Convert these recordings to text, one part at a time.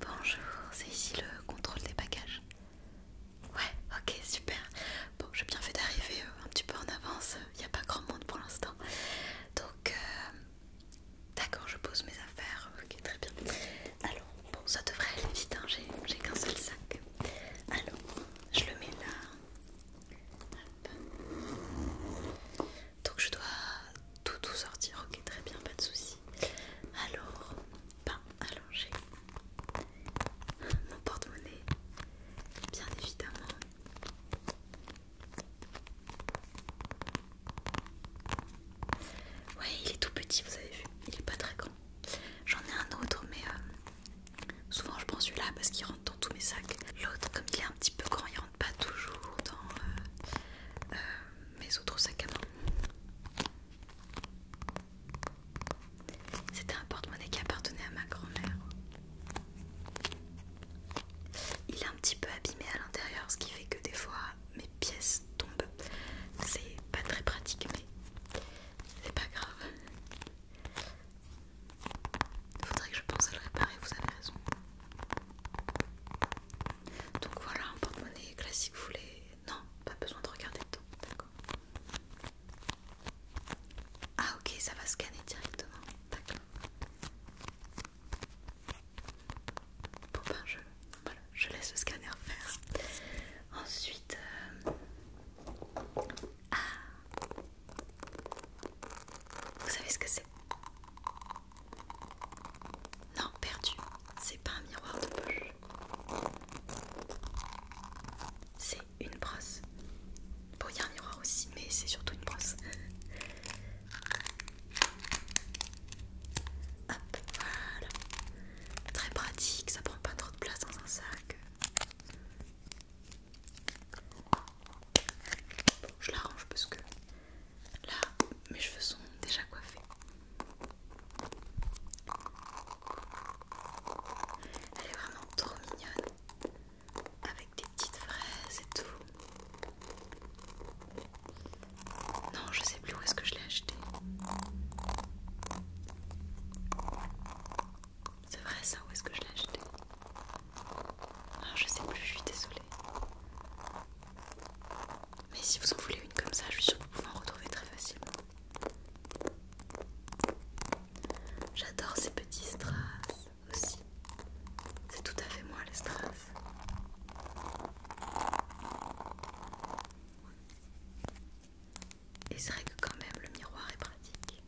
Bonjour, c'est ici le contrôle des bagages. Ouais, ok, super. Bon, j'ai bien fait d'arriver euh, un petit peu en avance, il euh, n'y a pas grand monde pour l'instant. Donc, euh, d'accord, je pose mes affaires. Ok, très bien. Alors, bon, ça devrait aller vite, hein, j'ai qu'un seul sac. Alors, je le mets là. Donc je dois tout tout sortir, ok très bien, pas de soucis. Alors, ben j'ai mon porte-monnaie, bien évidemment. Ouais, il est tout petit, vous avez vu, il est pas très grand. J'en ai un autre, mais euh, Souvent je prends celui-là parce qu'il rentre dans tous mes sacs. L'autre, comme il est un petit peu grand, il rentre pas toujours dans euh, euh, mes autres sacs à main. C'était un porte-monnaie qui appartenait à ma grand-mère. Il est un petit peu abîmé à l'intérieur, ce qui fait que des fois mes pièces tombent. C'est pas très pratique, mais c'est pas grave. Il Faudrait que je pense à le réparer, vous avez raison. Donc voilà, un porte-monnaie classique, vous voulez. Non, pas besoin de regarder dedans, d'accord. Ah, ok, ça va scanner directement, d'accord. Bon, ben, je, voilà, je laisse le scanner faire. Ensuite. Euh, ah, vous savez ce que c'est Non, perdu. C'est pas un miroir de poche. C'est une brosse. Bon, il y a un miroir aussi, mais c'est surtout une brosse. Hop, voilà. Très pratique, ça prend pas trop de place dans un sac je l'arrange parce que là mes cheveux sont déjà coiffés. Elle est vraiment trop mignonne avec des petites fraises et tout. Non, je sais plus où est-ce que je l'ai acheté. C'est vrai ça, où est-ce que je l'ai acheté ah, Je sais plus, je suis désolée. Mais si vous en voulez une comme ça, je suis sûre que vous pouvez en retrouver très facilement. J'adore ces petits strass aussi. C'est tout à fait moi les strass. Et c'est vrai que quand même le miroir est pratique.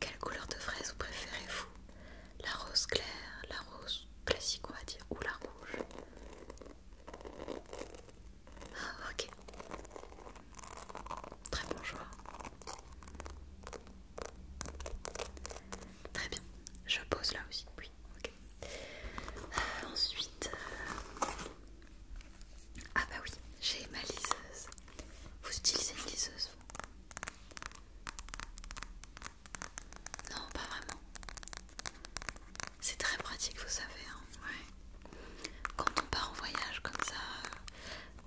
Quelle couleur de fraise vous préférez-vous La rose claire, la rose classique on va dire, ou la rouge ah, ok. Très bon choix. Très bien, je pose là aussi. Oui, ok. Euh, ensuite, euh, ah bah oui, j'ai ma liseuse. Vous utilisez une liseuse vous Non, pas vraiment. C'est très pratique, vous savez. Hein. ouais. Quand on part en voyage comme ça, euh,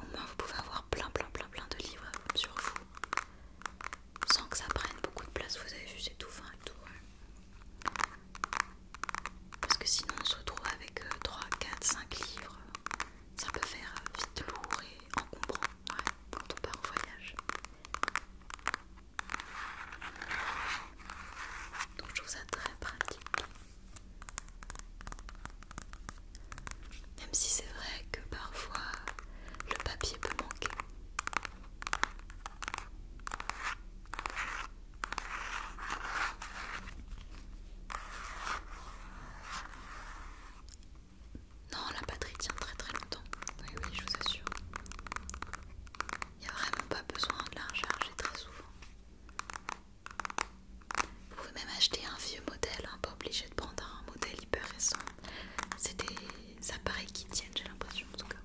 au moins, vous pouvez avoir plein, plein, plein, plein de livres sur vous sans que ça prenne beaucoup de place. Vous avez juste c'est tout fin et tout. Parce que sinon, on se retrouve avec 3, 4, 5 livres. Ça peut faire euh, vite lourd et encombrant quand on part en voyage. Donc, je trouve ça très pratique. Même si c'est vrai que parfois le papier peut manquer. Non, la batterie tient très très longtemps. Oui, oui, je vous assure. Il n'y a vraiment pas besoin de la recharger très souvent. Vous pouvez même acheter un vieux modèle, hein, pas obligé de prendre un modèle hyper récent. C'est des appareils qui tiennent, j'ai l'impression en tout cas.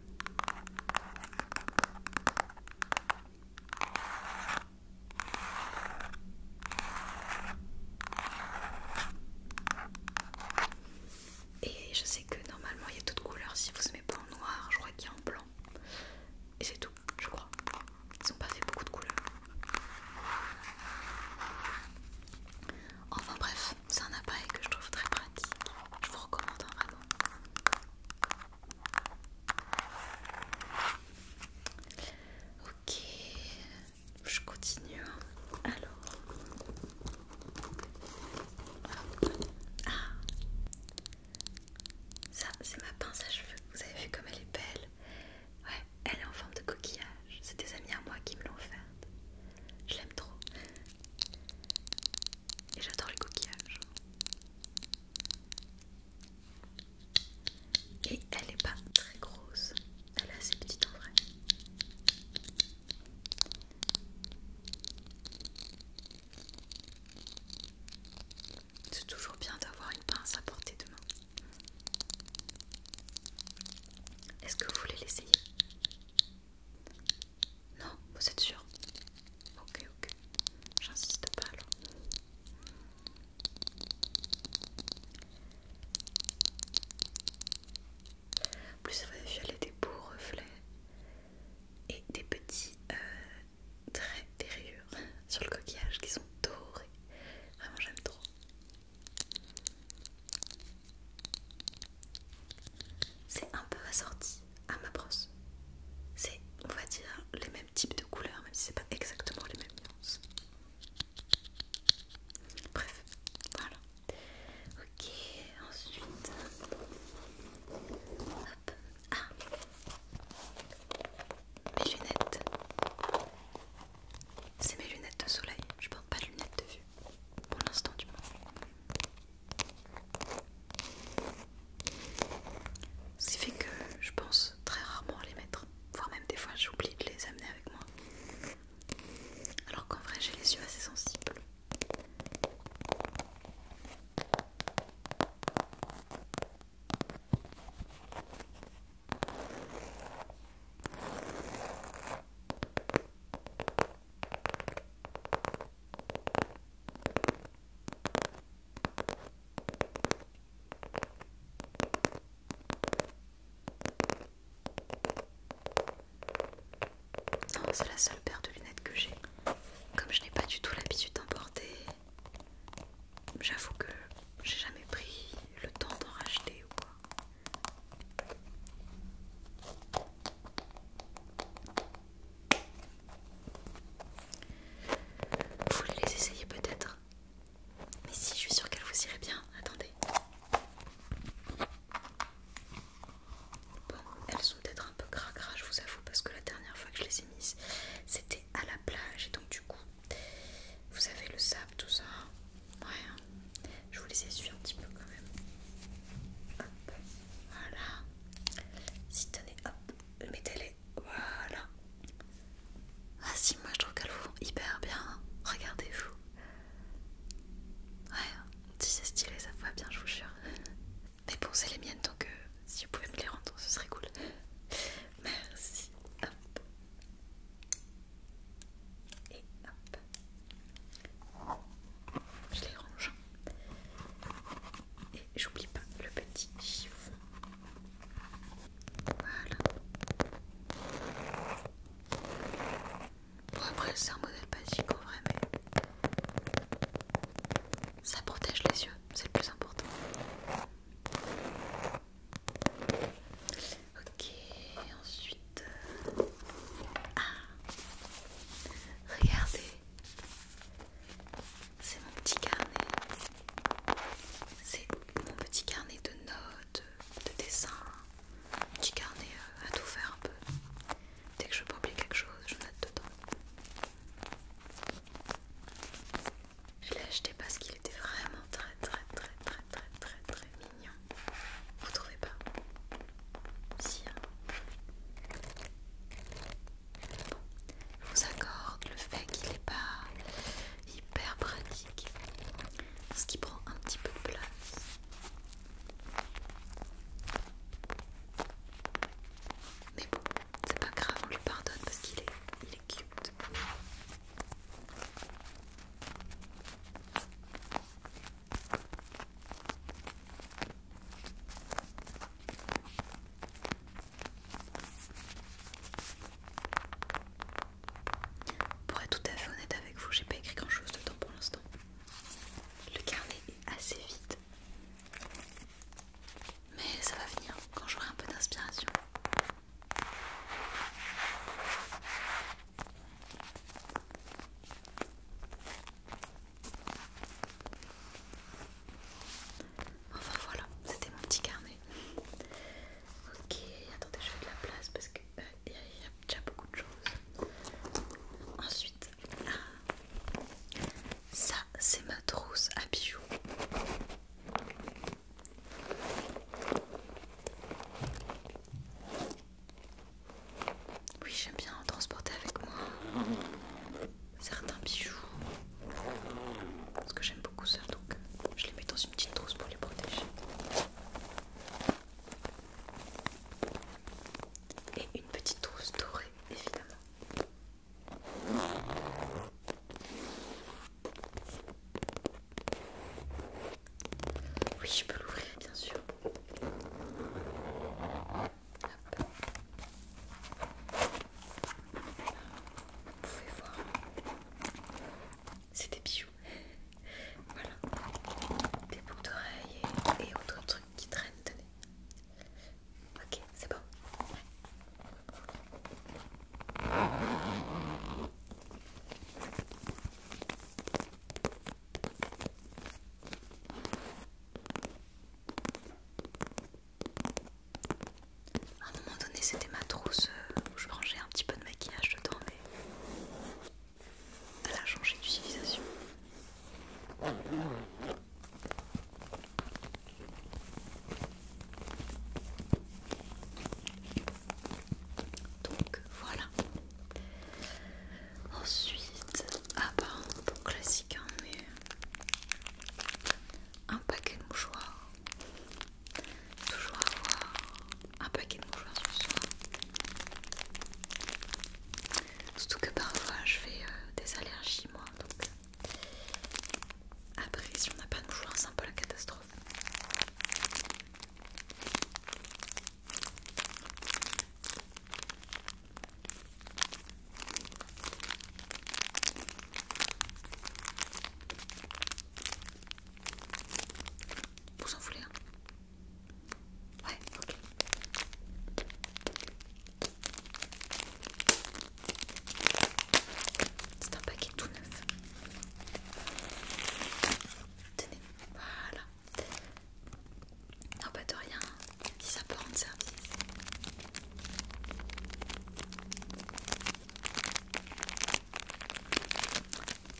Et je sais que normalement il y a d'autres couleurs si vous ne mettez pas en noir, je crois qu'il y a en blanc. Et c'est tout, je crois. Ils n'ont pas fait beaucoup de couleurs. Enfin bref, c'est un appareil que je trouve très pratique. Je vous recommande hein, vraiment. Ok, je continue. Hein. Alors, ah, ça c'est ma pince à cheveux. Vous avez vu comme elle est belle. Ouais, elle est en forme de coquillage. C'est des amis à moi qui me l'ont offerte. Je l'aime trop. Et j'adore les coquillages. Et elle n'est pas très grosse. Elle est assez petite en vrai. C'est toujours bien d'avoir une pince à portée de main. Est-ce que vous voulez l'essayer Non, vous êtes sûr Ok, ok. J'insiste pas alors. En plus ça va des beaux reflets et des petits euh, traits, des rayures sur le coquillage qui sont dorés. Vraiment j'aime trop. C'est un peu assorti à ma brosse. C'est, on va dire, les mêmes types de couleurs, même si c'est pas exactement les mêmes nuances. Bref, voilà. Ok, ensuite. Hop. Ah mes lunettes c'est mes lunettes de soleil, je porte pas de lunettes de vue. Pour l'instant du moins. Ce qui fait que je pense très rarement à les mettre. Voire même des fois j'oublie de les amener avec moi. Alors qu'en vrai j'ai les yeux assez sensibles. Non, c'est la seule paire de lunettes que j'ai. Comme je n'ai pas du tout l'habitude d'en porter, j'avoue que j'ai jamais pris le temps d'en racheter ou quoi. Vous voulez les essayer peut-être Mais si, je suis sûre qu'elles vous iraient bien. Attendez. Bon, elles sont peut-être un peu cracra, je vous avoue, parce que la dernière fois que je les ai mises, c'était à la plage, et donc du coup, vous avez le sable, tout ça. Hein. Ouais. Hein. Je vous les essuie un petit peu quand même. Hop. Voilà. Si tenez, hop, mettez-les. Voilà. Ah si, moi je trouve qu'elles vous hyper bien. Hein. Regardez-vous. Ouais, si c'est stylé, ça va bien, je vous jure. Mais bon, c'est les miennes, donc euh, si vous pouvez me les rendre, ce serait cool. Merci. Hop et hop, je les range. Et j'oublie pas le petit chiffon. Voilà. après, c'est un modèle pas si vrai, mais ça protège les yeux, c'est le plus important. Ok, ensuite. Euh, ah Regardez C'est mon petit carnet. C'est mon petit carnet de notes, de dessins. Petit carnet euh, à tout faire un peu. Dès que je peux oublier quelque chose, je note dedans. Je l'ai acheté parce qu'il était vraiment très très très très très très très mignon. Vous trouvez pas Si. Hein bon, je vous accorde le fait qu'il n'est pas hyper pratique, Parce qu'il prend un petit peu de place. Mais bon, c'est pas grave, on lui pardonne parce qu'il est, il est cute. Pour être tout à fait honnête avec vous, j'ai pas écrit grand chose dedans pour l'instant. Le carnet est assez vide. Mais ça va venir quand j'aurai un peu d'inspiration. Enfin voilà, c'était mon petit carnet. Ok, attendez, je fais de la place parce que euh, il y, a déjà beaucoup de choses. Ensuite, ah, ça c'est ma trousse à bijoux. Oui, j'aime bien transporter avec moi certains bijoux. Parce que j'aime beaucoup ça, donc je les mets dans une petite trousse pour les protéger. Et une petite trousse dorée, évidemment. Oui, je peux l'ouvrir, bien sûr. Vous pouvez voir. C'est des bijoux. voilà. Des boucles d'oreilles et, et autres trucs qui traînent. Tenez. Ok, c'est bon. À un moment donné, c'était ma trousse euh, où je rangeais un petit peu de maquillage dedans, mais elle a changé d'utilisation. Donc voilà. Ensuite, ah bah pour classique hein, mais un paquet de mouchoirs. Toujours avoir un paquet de mouchoirs ce soir. Surtout que parfois je fais euh, des allergies moi donc après si on n'a pas de mouchoirs c'est un peu la catastrophe. Pour Vous en voulez C'est un paquet tout neuf. Tenez, voilà. Ah pas de rien, si ça peut rendre service.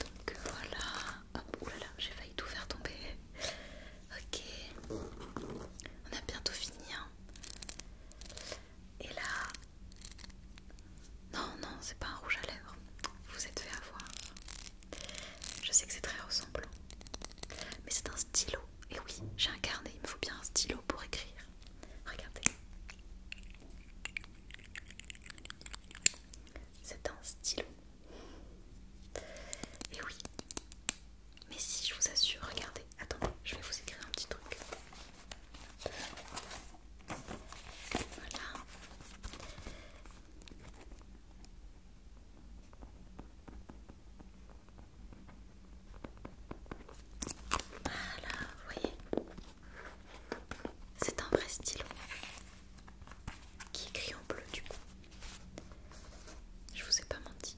Donc voilà. Hop, oh là là, j'ai failli tout faire tomber. Ok, on a bientôt fini. Hein. Et là, non, non, c'est pas un rouge à lèvres. Vous êtes fait avoir. Je sais que c'est très ressemblant. Mais c'est un stylo. Et oui, j'ai un carnet. Il me faut bien un stylo pour écrire. Regardez. C'est un stylo. Et oui. Mais si, je vous assure, regardez. Attendez, je vais vous écrire un petit truc. Voilà. Voilà, vous voyez C'est un vrai stylo qui écrit en bleu du coup. Je vous ai pas menti.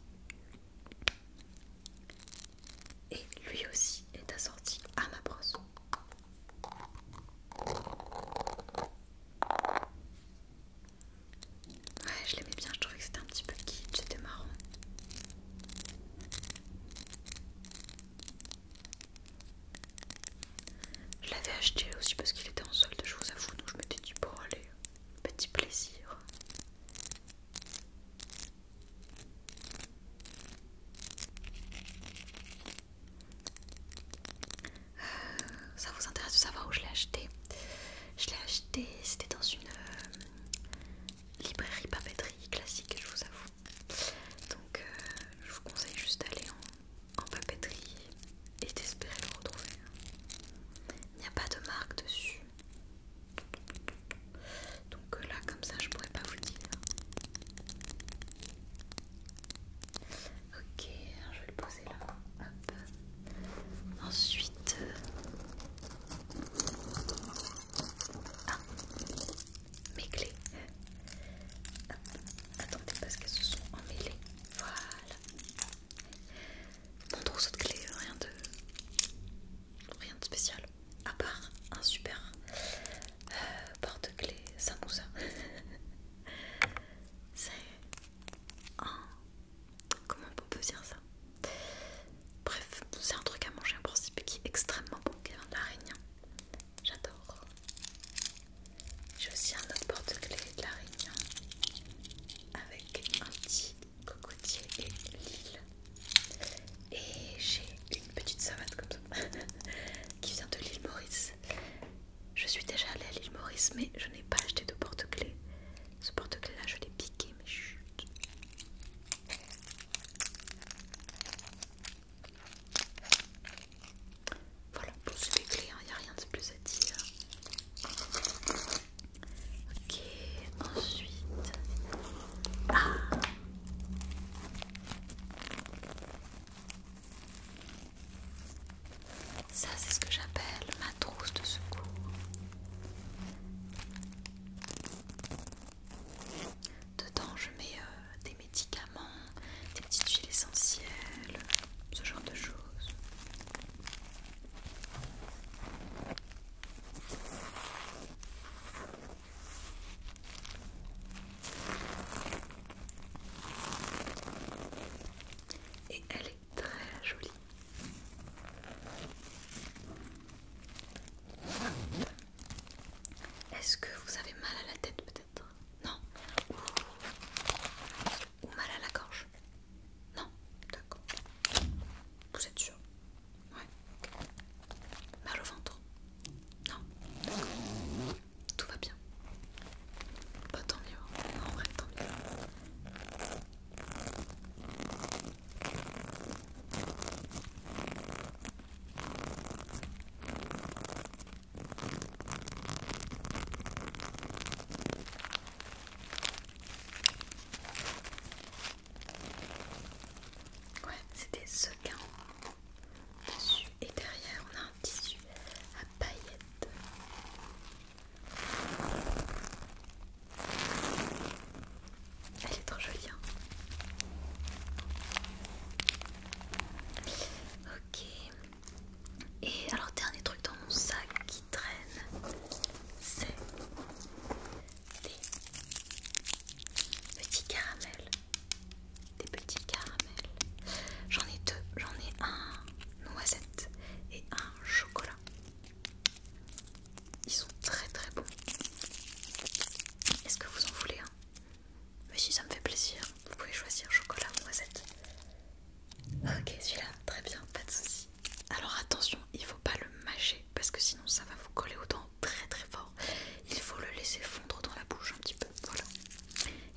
Et lui aussi est assorti à ma brosse. Ouais, je l'aimais bien, je trouvais que c'était un petit peu kitsch, c'était marrant. Je l'avais acheté aussi parce qu'il était en solde, je vous avoue, donc je m'étais dit, pour aller, petit plaisir ça vous intéresse de savoir où je l'ai acheté Je l'ai acheté, c'était dans une euh, librairie papeterie classique, je vous avoue. Donc euh, je vous conseille juste d'aller en, en papeterie et d'espérer le retrouver. Il n'y a pas de marque dessus. Donc euh, là comme ça je pourrais pas vous dire. Ok, je vais le poser là. Hop. Ensuite, euh, ah, mes clés. Attendez parce qu'elles se sont emmêlées. Voilà. Mon trousseau de clés, rien de, rien de spécial. À part un super euh, porte-clés, ça C'est un. Comment on peut dire ça Bref, c'est un truc à manger un principe qui est extrêmement bon, qui vient Réunion. J'adore. J'ai aussi un autre porte-clés de Réunion avec un petit cocotier et l'île. Et j'ai une petite savate comme ça. qui vient de l'île Maurice. Je suis déjà allée à l'île Maurice, mais je n'ai pas acheté de porte-clés. Ce porte-clés là, je l'ai piqué, mais chut. Voilà, pour bon, les clés, il hein, n'y a rien de plus à dire. Ok, ensuite. Ah ça, c'est ce que j'appelle ma trousse de secours. Dedans, je mets euh, des médicaments, des petites huiles essentielles, ce genre de choses. Et elle est très jolie. Est-ce que vous avez mal à la tête peut-être Non Ou mal à la gorge Non D'accord. Vous êtes sûr Ouais. Mal au ventre Non tout va bien. pas bah, tant mieux, hein. en vrai tant mieux. Ouais, c'était ce qu'un dessus et derrière on a un tissu à paillettes. Elle est trop jolie. Hein. ok. Et alors dernier truc dans mon sac qui traîne, c'est des petits caramels des petits caramels. J'en ai deux, j'en ai un noisette et un chocolat. Ils sont très très bons. Est-ce que vous en voulez un Mais si ça me fait plaisir, vous pouvez choisir chocolat ou noisette. Ok, celui-là, très bien, pas de soucis. Alors attention, il faut pas le mâcher parce que sinon ça va vous coller aux dents très très fort il faut le laisser fondre dans la bouche un petit peu. Voilà.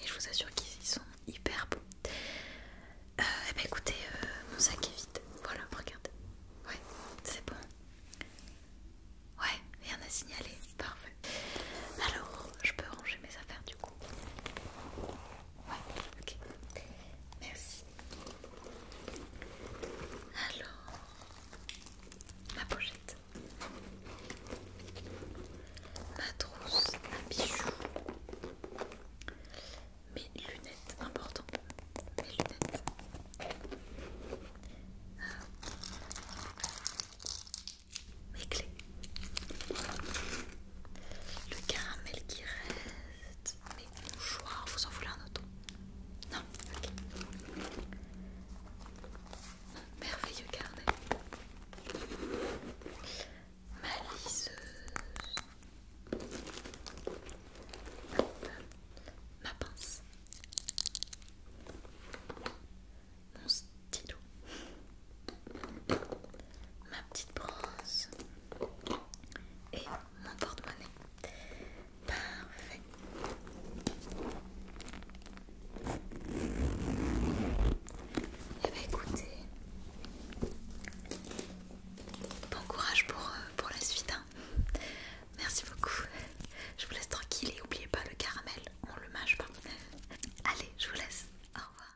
Et je vous assure qu'ils sont hyper bons. Euh, eh et ben, écoutez, euh, mon sac est vide. Voilà, regardez. Ouais, c'est bon. Ouais, rien à signaler. Parfait. Alors, je peux ranger mes affaires du coup. Ouais, ok. Merci. Alors, ma pochette. Ma trousse à bijoux. Mes lunettes, important. Mes lunettes. Ah. Mes clés. Le caramel qui reste. Mes mouchoirs, vous en voulez un autre Non, ok. Merveilleux carnet. Ma liseuse. Ma pince. Mon stylo. Ma petite brosse. Et mon porte-monnaie. Parfait. Et eh bah ben, écoutez, bon courage pour, euh, pour la suite. Hein. Merci beaucoup. Je vous laisse tranquille et n'oubliez pas le caramel, on le mâche pas. Allez, je vous laisse. Au revoir.